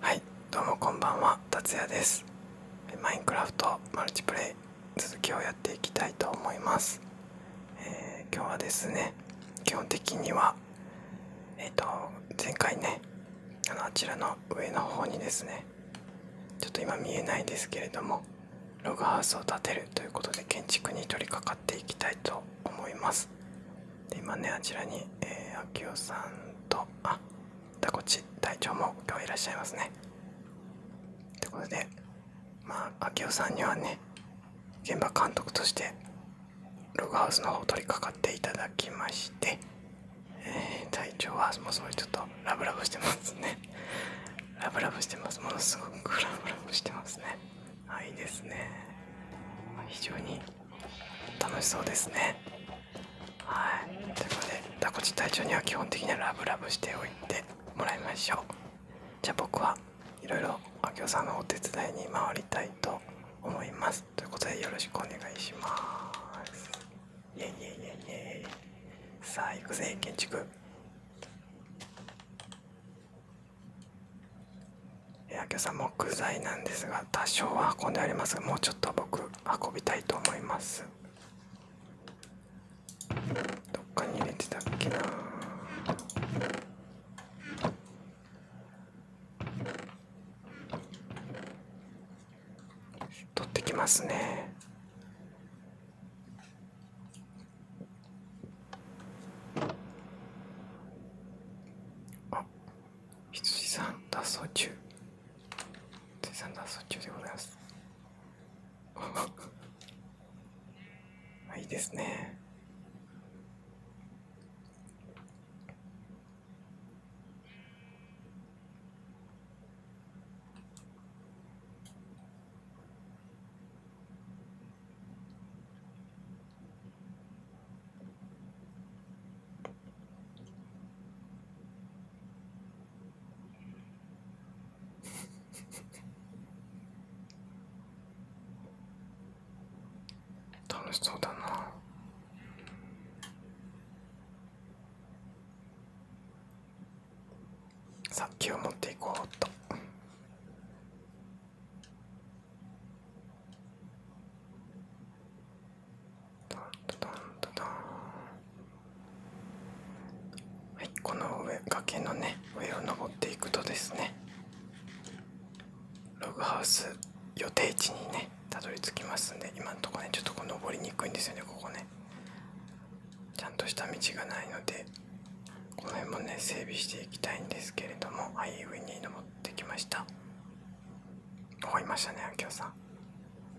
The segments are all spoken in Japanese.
はいどうもこんばんは達也ですマインクラフトマルチプレイ続きをやっていきたいと思います、え今日はですね基本的にはえっ、と前回ねあのあちらの上の方にですねちょっと今見えないですけれどもログハウスを建てるということで建築に取り掛かっていきたいと思いますで今ねあちらに、えー、秋代さんとあだこち隊長も今日はいらっしゃいますねということでまあ秋代さんにはね現場監督としてログハウスの方を取り掛かっていただきまして、えー、隊長はもうすごいちょっとラブラブしてますねラブラブしてますものすごくラブラブしてますねあいいですね非常に楽しそうですねはいということでダコチ隊長には基本的にはラブラブしておいてもらいましょうじゃあ僕はいろいろあきおさんのお手伝いに回りたいと思いますということでよろしくお願いしますイエイイエイイエイイエイさあ行くぜ建築今朝木材なんですが多少は運んでありますがもうちょっと僕運びたいと思いますどっかに入れてたっけな取ってきますねあ羊さん脱走中羊さん脱走中でございます あいいですね楽しそうだな。さっきを持っていこうっと。はい、この上崖のね上を登っていくとですねログハウス予定地にねたどり着きますんで今のとこねちょっとこう登りにくいんですよねここねちゃんとした道がないのでこの辺もね整備していきたいんですけれどもあイウェイに登ってきましたおいましたねあきょうさ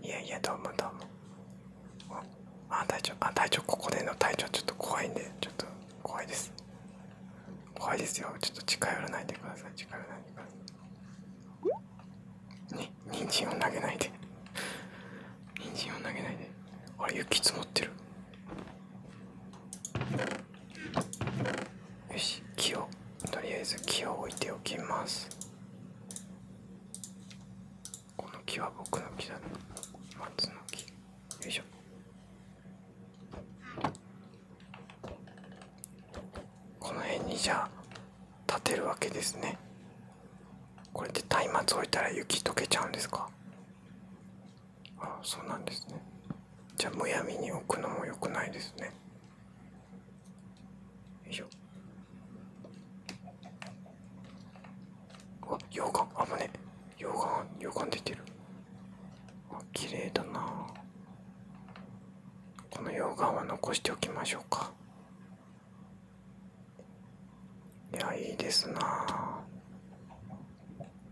んいやいやどうもどうもあ隊長あ隊長ここでの隊長ちょっと怖いんでちょっと怖いです怖いですよちょっと近寄らないでください近寄らないでくださいに人参を投げないでニンジンは投げないであれ雪積もってるよし木をとりあえず木を置いておきますこの木は僕の木だな松の木よいしょこの辺にじゃあ建てるわけですねこれで松明置いたら雪溶けちゃうんですかあそうなんですねじゃあむやみに置くのもよくないですねよいしょあ溶岩あぶね溶岩溶岩出てるあ綺麗だなこの溶岩は残しておきましょうかいや、いいですな。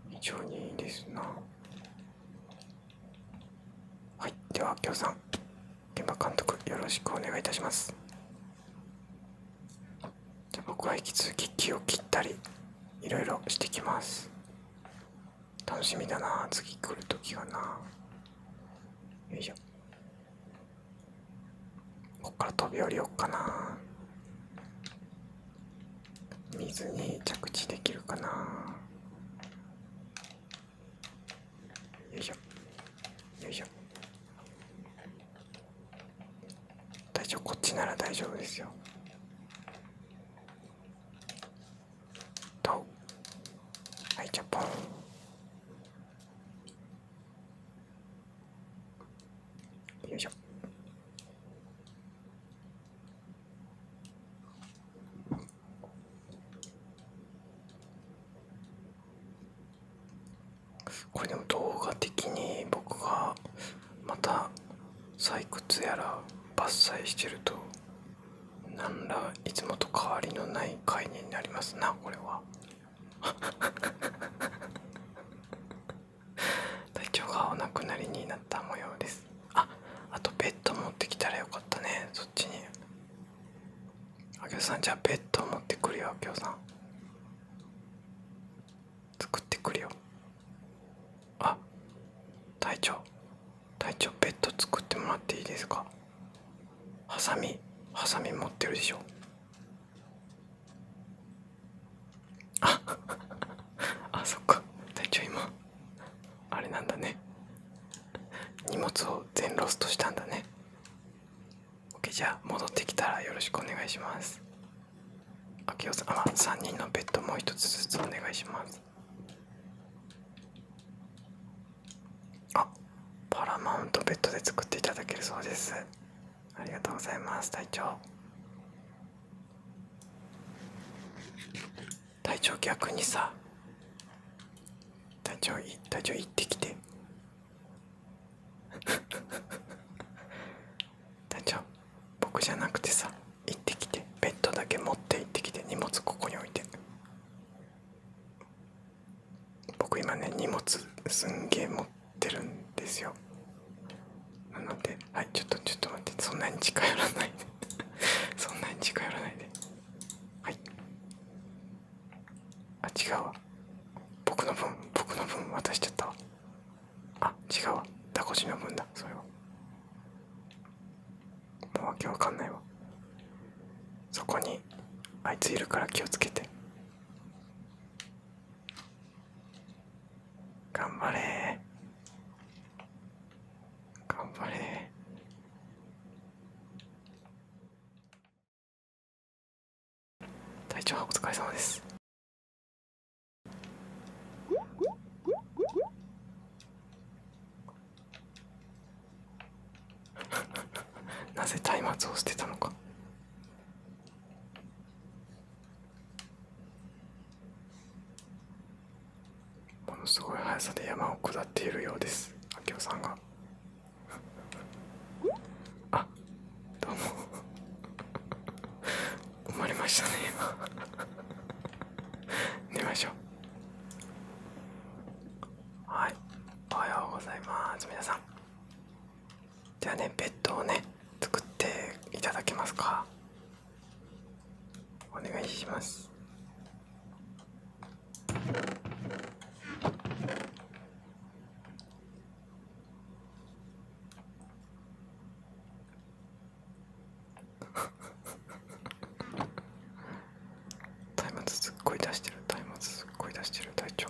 非常にいいですな。はい、では、きょうさん、現場監督、よろしくお願いいたします。じゃ僕は引き続き気を切ったり、いろいろしてきます。楽しみだな、次来るときがな。よいしょ。こっから飛び降りようかな水に着地できるかなよいしょよいしょ大丈夫こっちなら大丈夫ですよと。はいじゃあポンよいしょ。これでも動画的に僕がまた採掘やら伐採してると何らいつもと変わりのない概念になりますなこれは。体調がお亡くなりになった模様ですああとベッド持ってきたらよかったねそっちにあげおさんじゃあベッド持ってくるよあきおさん作ってくるよあ体調体調ベッド作ってもらっていいですかハサミハサミ持ってるでしょ ああそっか隊長今あれなんだね荷物を全ロストしたんだね OK じゃあ戻ってきたらよろしくお願いしますあきおさんあ3人のベッドもう一つずつお願いしますあパラマウントベッドで作っていただけるそうですありがとうございます隊長隊長逆にさ隊長い、隊長行ってきて 隊長僕じゃなくてさ行ってきてベッドだけ持って行ってきて荷物ここに置いて僕今ね荷物すんげえ持ってるんですよなのではいちょっとちょっと待ってそんなに近寄らないで そんなに近寄らないではいあ違うわ僕の分僕の分渡しちゃったわあ違うわダコシの分だそれはもうわけわかんないわそこにあいついるから気をつけて頑張れ頑張れ体調はお疲れ様です なぜ松明を捨てたのかものすごい速さで山を下っているようです明夫さんがあどうも生まれましたね今寝ましょうはいおはようございます皆さんではねベッドをね作っていただけますかお願いします松 すっごい出してる松明すっごい出してる隊長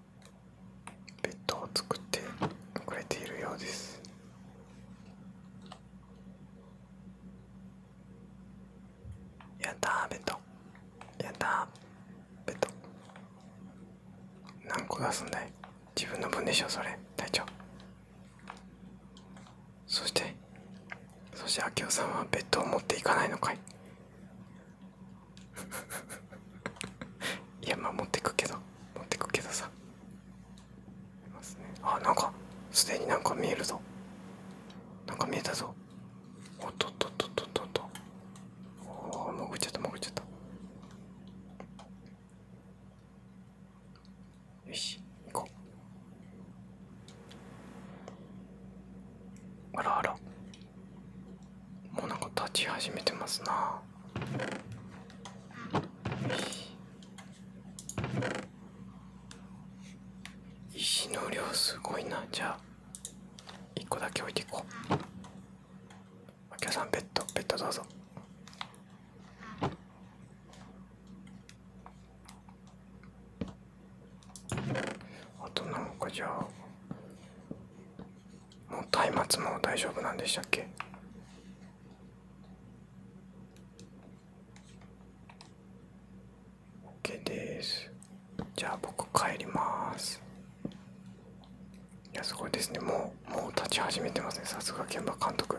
ベッドを作ってくれているようですやったベッドやったベッド何個出すんだい自分の分でしょそれ隊長そしてそして明夫さんはベッドを持っていかないのかい いや守ってくけど持ってくけどさあなんかすでになんか見えるぞなんか見えたぞおっとっとっとっとっとっとおー潜っちゃった潜っちゃったよし行こうあらあらもうなんか立ち始めてますな石の量すごいなじゃあ1個だけ置いていこうお客さんベッドベッドどうぞあとなんかじゃあもう松明も大丈夫なんでしたっけオッケーですじゃあ僕帰りますいやすごいですねもうもう立ち始めてますねさすが現場監督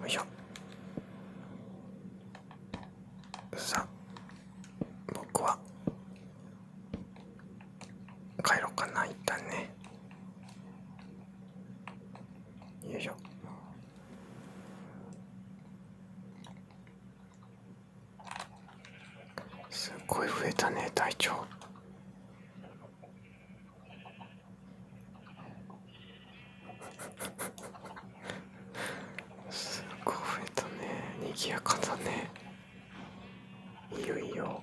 よいしょさあ僕は帰ろうかない旦ねよいしょすっごい増えたね体調すごい増えたねにぎやかだねいよいよ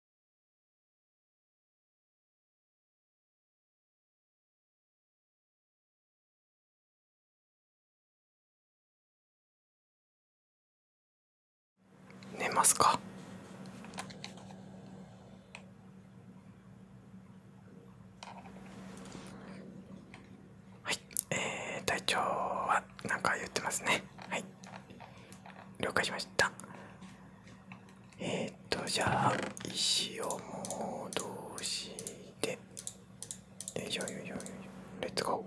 寝ますかはい、えー、隊長は何か言ってますねはい了解しましたえっ、とじゃあ石を戻してよいしょよいしよいレッツゴ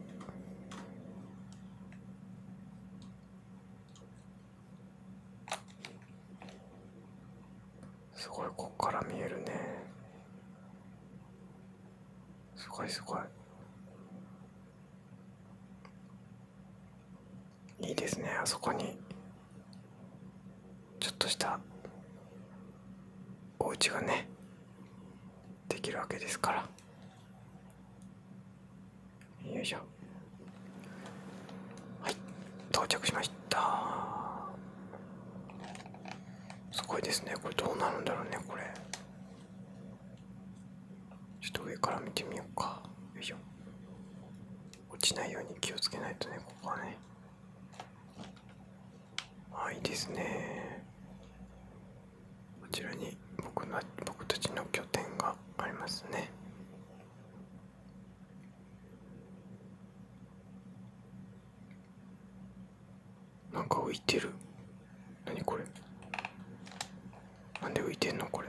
ーすごいこっから見えるねすごいすごいいいですねあそこにちょっとしたお家がねできるわけですからよいしょはい到着しましたすごいですねこれどうなるんだろうねこれちょっと上から見てみようかよいしょ落ちないように気をつけないとねここはねあいいですねこちらに僕の僕たちの拠点がありますねなんか浮いてる何これなんで浮いてんのこれ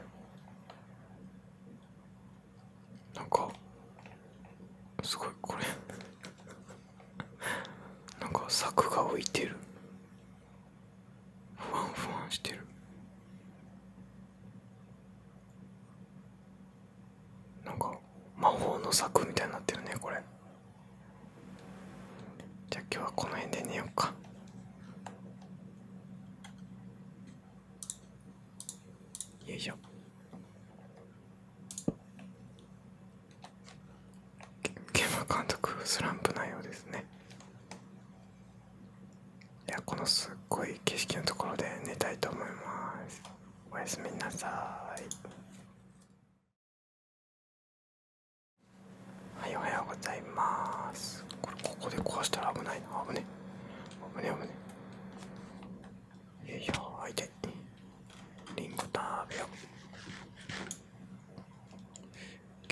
なんかすごいこれ なんか柵が浮いてるふわんふわんしてるなんか魔法の柵みたいになってるねこれじゃあ今日はこの辺で寝ようかよいしょ。ゲーム監督、スランプなようですね。いや、このすっごい景色のところで寝たいと思います。おやすみなさい。はい、おはようございます。これ、ここで壊したら危ないな。危ね。危ね、危ね。よいしょ、相手。リンゴ食べよう。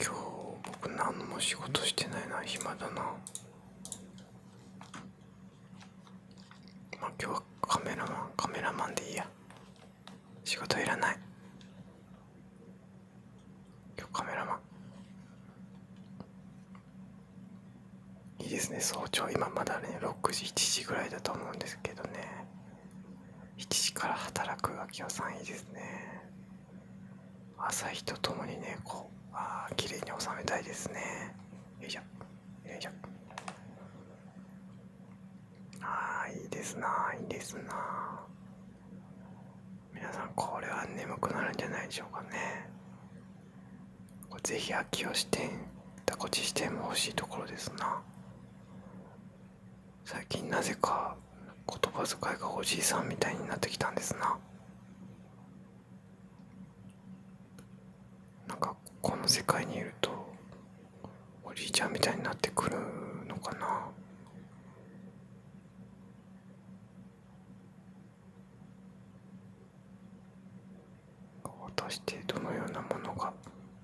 今日僕何も仕事してないな、暇だな。まあ今日はカメラマン、カメラマンでいいや。仕事いらない。今日カメラマン。いいですね早朝今まだね6時7時ぐらいだと思うんですけどね7時から働く秋代さんいいですね朝日とともにねこうあ綺麗に収めたいですねよいしょよいしょああいいですないいですな皆さんこれは眠くなるんじゃないでしょうかねぜひ発秋吉店田こちしても欲しいところですな最近なぜか言葉遣いがおじいさんみたいになってきたんですななんかこの世界にいるとおじいちゃんみたいになってくるのかな果たしてどのようなものが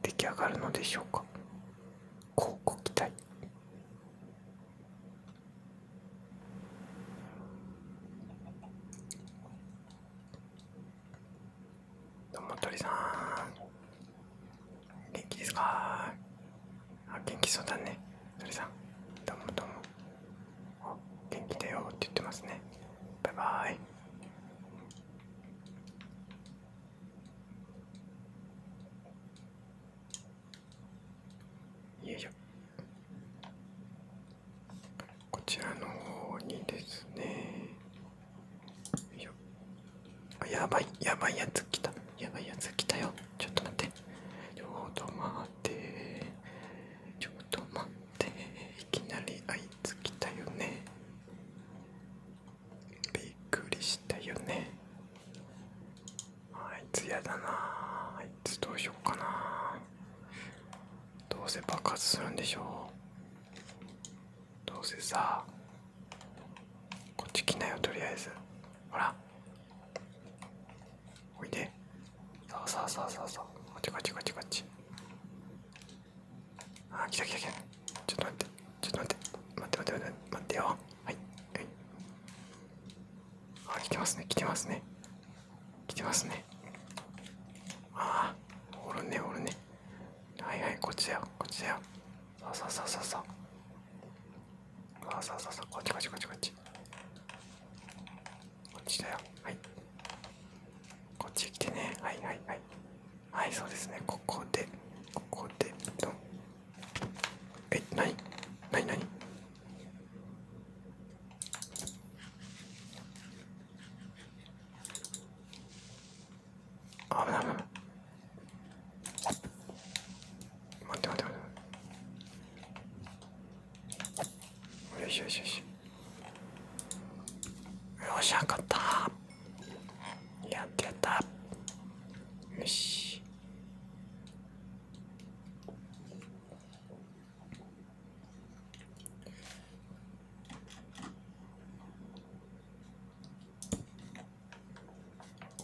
出来上がるのでしょうかこうご期待どうも鳥さん元気ですかあ元気そうだね鳥さんどうもどうも元気だよって言ってますねバイバイよいしょこちらの方にですねよいしょあやばいやばいやつ来たやばいやつ来たよちょっと待ってちょうどっちょっと待っていきなりあいつ来たよねびっくりしたよねあいつやだなあいつどうしようかなどうせ爆発するんでしょうどうせさこっち来ないよとりあえずほらおいでそうそうそうそうそうこっちこっちこっちこっちあー来た来た来たちょっと待ってちょっと待って待って待って待って待ってよはいはいあー来てますね来てますね来てますねああおるねおるねはいはいこっちだよこっちだよそうそうそうそうそうあそうそうそうこっちこっちこっちこっちこっちだよはいこっち来てねはいはいはいはいそうですねここでここでどん。え何何何あ危ない危ない待って待って待ってよしよしよしよしゃかったやってやったよし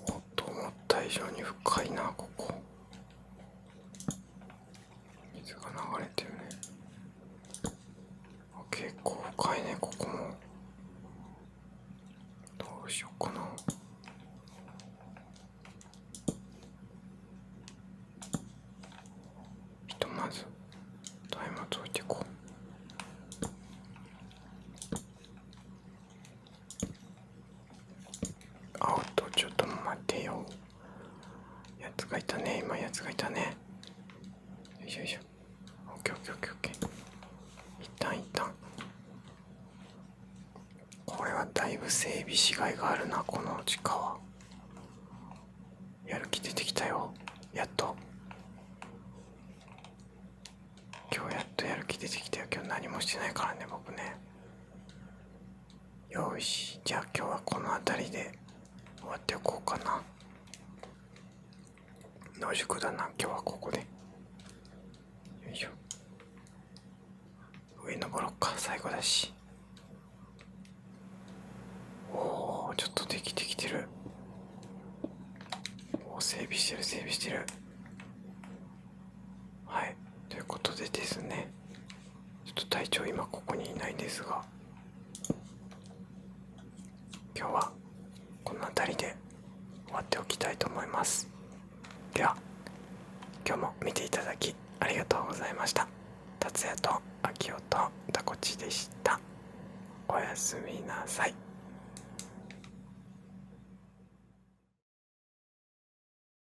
おっと思った以上に深いなここ水が流れてるね結構深いねここもどうしようかなひとまずタイマーといていこうアウト、ちょっと待ってよやつがいたね今やつがいたねよいしょよいしょオッケーオッケーオッケーオッケー一旦一旦これはだいぶ整備しがいがあるなこの地下はやる気出てきたよやっと今日やっとやる気出てきたよ今日何もしてないからね僕ねよしじゃあ今日はこの辺りで終わっておこうかな野宿だな今日はここでよいしょ上登ろっか最後だしおおちょっとできてきてるお整備してる整備してるはいということでですねちょっと体調今ここにいないんですが今日はこの辺りで終わっておきたいと思いますでは今日も見ていただきありがとうございました達也と秋夫とタコチでしたおやすみなさい